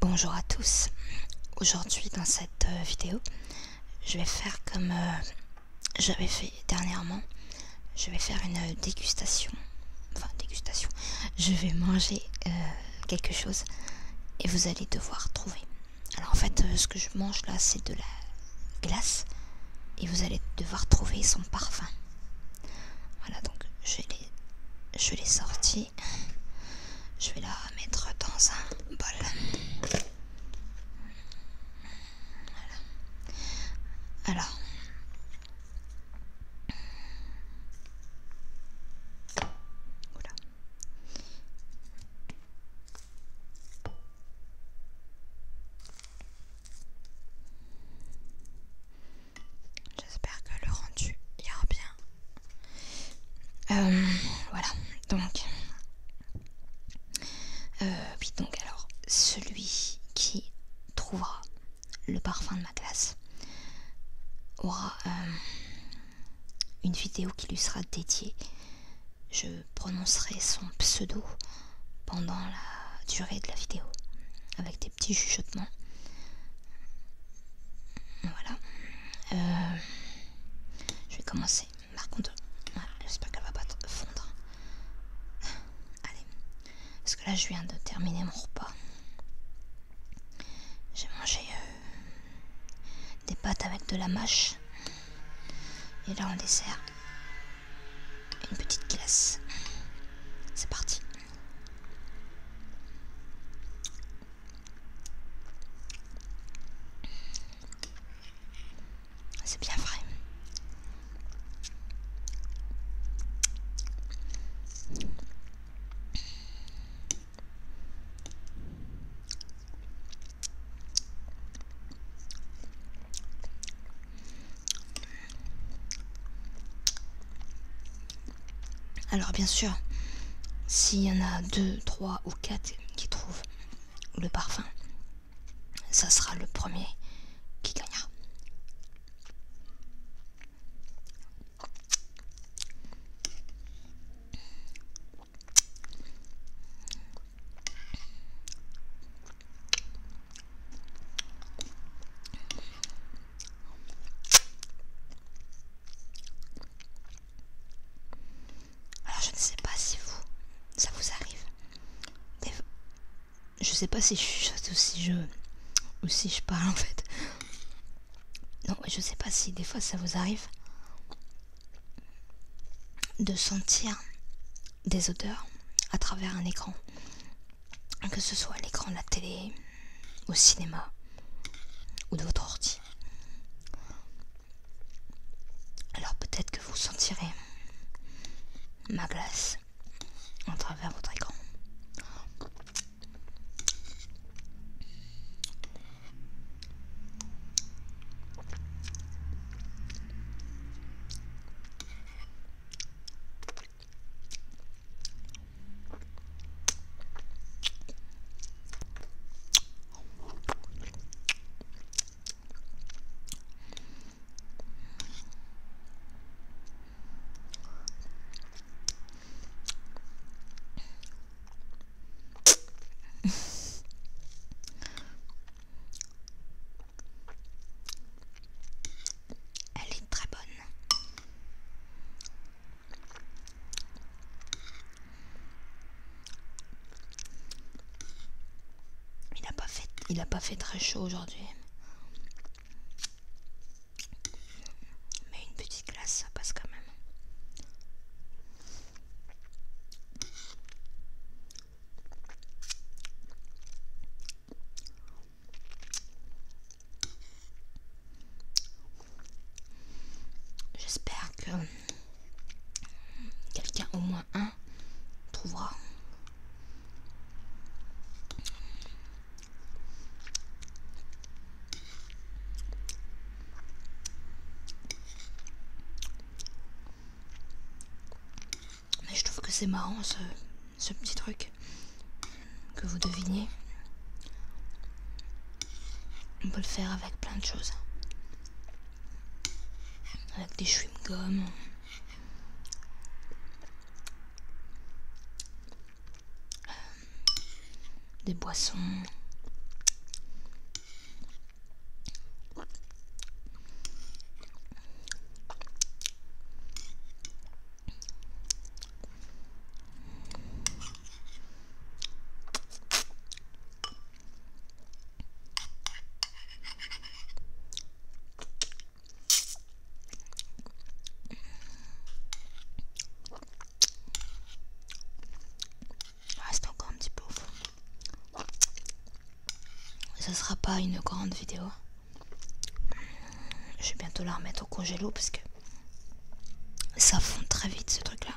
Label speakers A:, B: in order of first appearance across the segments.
A: Bonjour à tous. Aujourd'hui dans cette euh, vidéo, je vais faire comme euh, j'avais fait dernièrement je vais faire une euh, dégustation. Enfin, dégustation. Je vais manger euh, quelque chose et vous allez devoir trouver. Alors en fait, euh, ce que je mange là, c'est de la glace et vous allez devoir trouver son parfum. Voilà, donc je l'ai, je l'ai sorti. Je vais la mettre dans un bol. Alors. voilà. J'espère que le rendu ira bien. Euh, voilà, donc euh, donc alors, celui qui trouvera le parfum de ma classe aura euh, une vidéo qui lui sera dédiée. Je prononcerai son pseudo pendant la durée de la vidéo, avec des petits chuchotements. Voilà. Euh, je vais commencer. Par contre, j'espère qu'elle va pas fondre. Allez, parce que là je viens de terminer mon repas. J'ai mangé euh, des pâtes avec de la mâche. Et là on dessert, une petite glace. C'est parti. C'est bien vrai. Alors bien sûr, s'il y en a deux, trois ou quatre qui trouvent le parfum, ça sera le premier qui gagnera. Alors je ne sais pas si vous, ça vous arrive. je ne sais pas si je chuchote ou si je, ou si je parle en fait. Non, je sais pas si des fois ça vous arrive de sentir des odeurs à travers un écran. Que ce soit l'écran de la télé, au cinéma ou de votre ordi. Alors peut-être que vous sentirez ma glace en travers votre écran. Elle est très bonne. Il n'a pas fait, il n'a pas fait très chaud aujourd'hui. Mais une petite glace, ça passe quand même. J'espère que quelqu'un, au moins un, trouvera. Mais je trouve que c'est marrant ce, petit truc que vous devinez. On peut le faire avec plein de choses avec des chewing-gums. Euh, des boissons. Reste ah, encore un petit peu au fond. Ce sera pas une grande vidéo. Je vais bientôt la remettre au congélo parce que ça fond très vite ce truc là.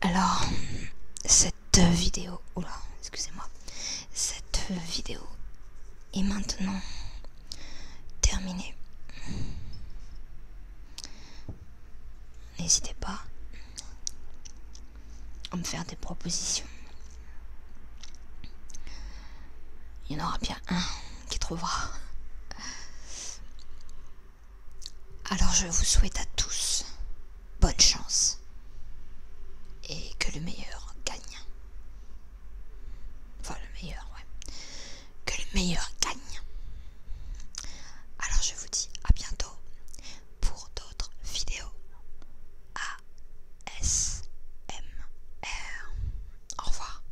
A: Alors, cette vidéo, excusez-moi, cette vidéo est maintenant terminée. N'hésitez pas à me faire des propositions. Il y en aura bien un qui trouvera. Alors je vous souhaite à tous bonne chance et que le meilleur gagne. Enfin le meilleur, ouais. Que le meilleur gagne. Alors je vous dis à bientôt pour d'autres vidéos. A S M R. Au revoir.